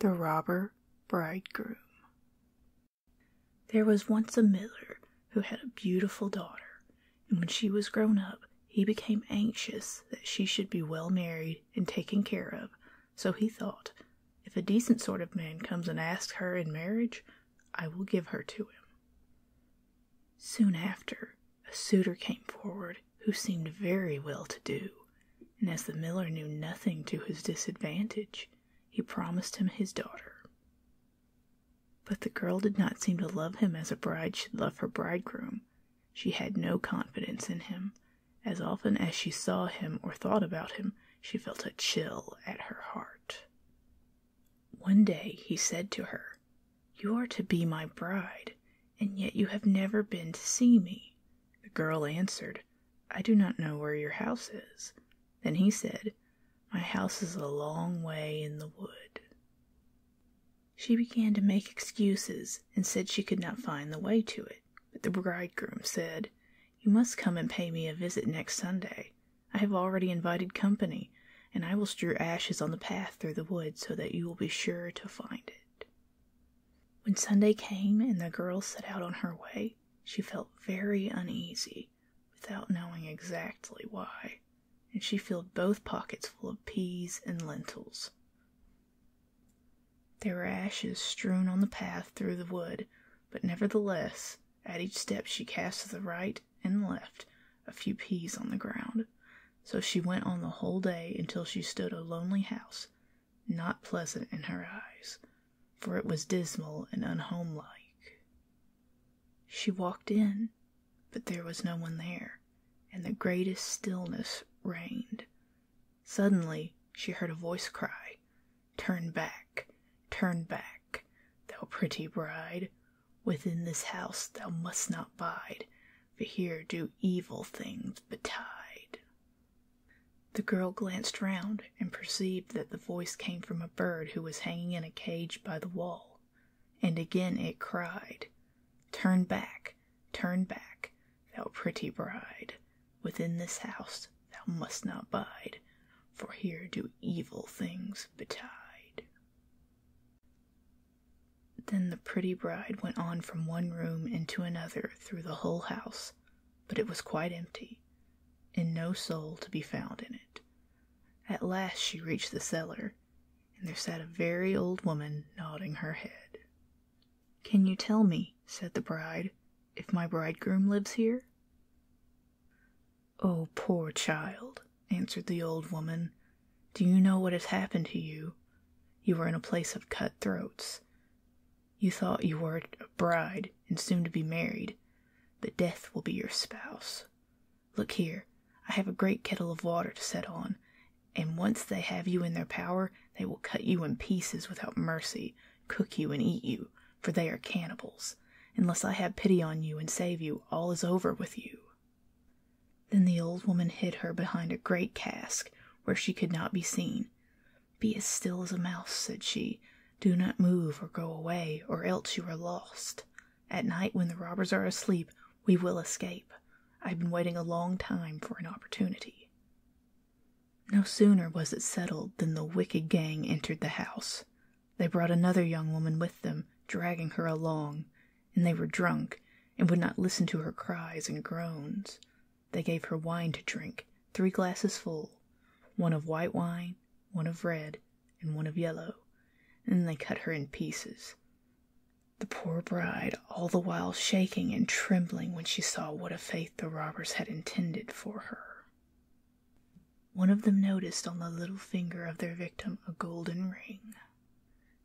The Robber Bridegroom There was once a miller who had a beautiful daughter, and when she was grown up, he became anxious that she should be well married and taken care of, so he thought, If a decent sort of man comes and asks her in marriage, I will give her to him. Soon after, a suitor came forward who seemed very well to do, and as the miller knew nothing to his disadvantage, he promised him his daughter. But the girl did not seem to love him as a bride should love her bridegroom. She had no confidence in him. As often as she saw him or thought about him, she felt a chill at her heart. One day he said to her, You are to be my bride, and yet you have never been to see me. The girl answered, I do not know where your house is. Then he said, My house is a long way in the wood. She began to make excuses and said she could not find the way to it. But the bridegroom said, You must come and pay me a visit next Sunday. I have already invited company, and I will strew ashes on the path through the wood so that you will be sure to find it. When Sunday came and the girl set out on her way, she felt very uneasy without knowing exactly why, and she filled both pockets full of peas and lentils. There were ashes strewn on the path through the wood, but nevertheless, at each step she cast to the right and left a few peas on the ground. So she went on the whole day until she stood a lonely house not pleasant in her eyes, for it was dismal and unhomelike. She walked in, but there was no one there, and the greatest stillness reigned. Suddenly she heard a voice cry, Turn back, turn back, thou pretty bride, within this house thou must not bide, for here do evil things betide. The girl glanced round and perceived that the voice came from a bird who was hanging in a cage by the wall, and again it cried, Turn back, turn back, thou pretty bride, within this house thou must not bide, for here do evil things betide. Then the pretty bride went on from one room into another through the whole house, but it was quite empty, and no soul to be found in it. At last she reached the cellar, and there sat a very old woman nodding her head. Can you tell me, said the bride, if my bridegroom lives here? Oh, poor child, answered the old woman. Do you know what has happened to you? You were in a place of cutthroats. You thought you were a bride and soon to be married, but death will be your spouse. Look here, I have a great kettle of water to set on, and once they have you in their power, they will cut you in pieces without mercy, cook you and eat you, for they are cannibals. Unless I have pity on you and save you, all is over with you. Then the old woman hid her behind a great cask where she could not be seen. Be as still as a mouse, said she. Do not move or go away, or else you are lost. At night, when the robbers are asleep, we will escape. I've been waiting a long time for an opportunity. No sooner was it settled than the wicked gang entered the house. They brought another young woman with them, dragging her along and they were drunk and would not listen to her cries and groans. They gave her wine to drink, three glasses full, one of white wine, one of red, and one of yellow, and then they cut her in pieces. The poor bride all the while shaking and trembling when she saw what a fate the robbers had intended for her. One of them noticed on the little finger of their victim a golden ring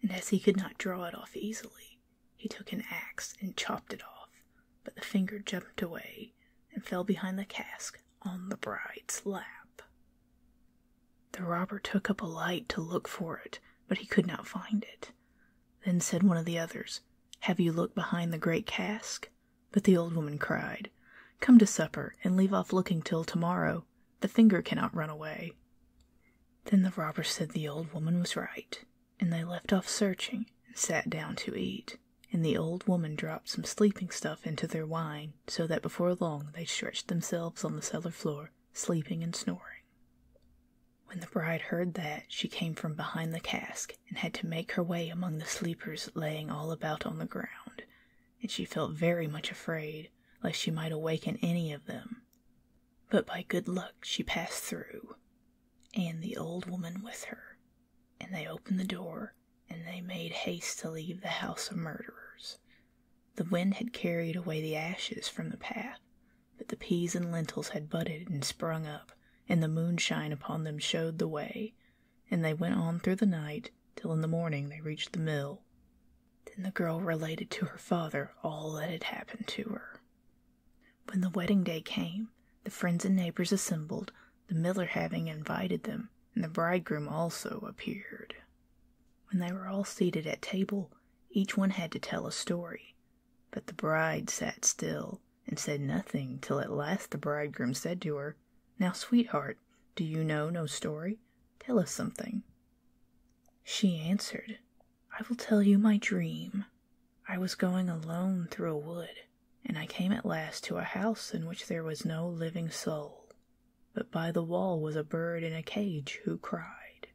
and as he could not draw it off easily, he took an axe and chopped it off, but the finger jumped away and fell behind the cask on the bride's lap. The robber took up a light to look for it, but he could not find it. Then said one of the others, Have you looked behind the great cask? But the old woman cried, Come to supper, and leave off looking till to morrow. The finger cannot run away. Then the robber said the old woman was right, and they left off searching and sat down to eat, and the old woman dropped some sleeping stuff into their wine, so that before long they stretched themselves on the cellar floor, sleeping and snoring. When the bride heard that, she came from behind the cask, and had to make her way among the sleepers lying all about on the ground, and she felt very much afraid lest she might awaken any of them but by good luck she passed through, and the old woman with her, and they opened the door, and they made haste to leave the house of murderers. The wind had carried away the ashes from the path, but the peas and lentils had budded and sprung up, and the moonshine upon them showed the way, and they went on through the night till in the morning they reached the mill. Then the girl related to her father all that had happened to her. When the wedding day came, the friends and neighbors assembled, the miller having invited them, and the bridegroom also appeared. When they were all seated at table, each one had to tell a story, but the bride sat still and said nothing till at last the bridegroom said to her, Now, sweetheart, do you know no story? Tell us something. She answered, I will tell you my dream. I was going alone through a wood, and I came at last to a house in which there was no living soul, but by the wall was a bird in a cage who cried,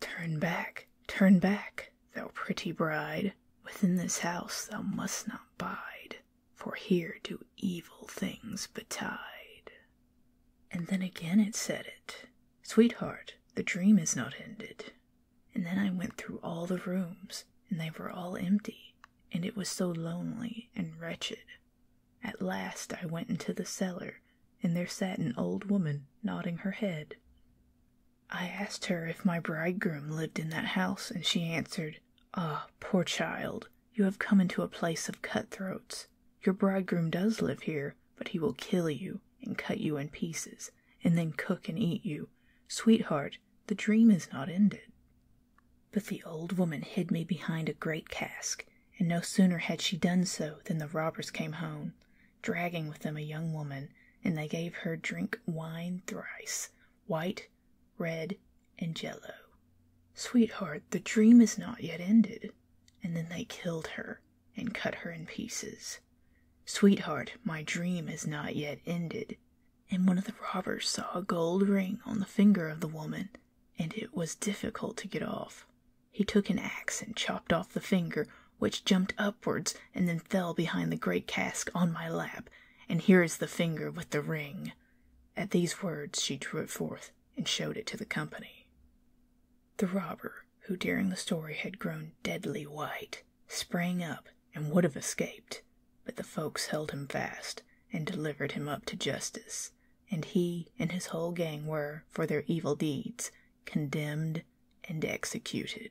'Turn back, turn back, thou pretty bride, within this house thou must not bide, for here do evil things betide. And then again it said it Sweetheart, the dream is not ended. And then I went through all the rooms, and they were all empty, and it was so lonely and wretched. At last I went into the cellar, and there sat an old woman nodding her head. I asked her if my bridegroom lived in that house, and she answered, Ah, poor child, you have come into a place of cutthroats. Your bridegroom does live here, but he will kill you and cut you in pieces, and then cook and eat you. Sweetheart, the dream is not ended. But the old woman hid me behind a great cask, and no sooner had she done so than the robbers came home, dragging with them a young woman, and they gave her drink wine thrice white, red, and yellow. Sweetheart, the dream is not yet ended and then they killed her and cut her in pieces. Sweetheart, my dream has not yet ended. And one of the robbers saw a gold ring on the finger of the woman, and it was difficult to get off. He took an axe and chopped off the finger, which jumped upwards and then fell behind the great cask on my lap. And here is the finger with the ring. At these words she drew it forth, and showed it to the company. The robber, who during the story had grown deadly white, sprang up and would have escaped, but the folks held him fast and delivered him up to justice, and he and his whole gang were, for their evil deeds, condemned and executed.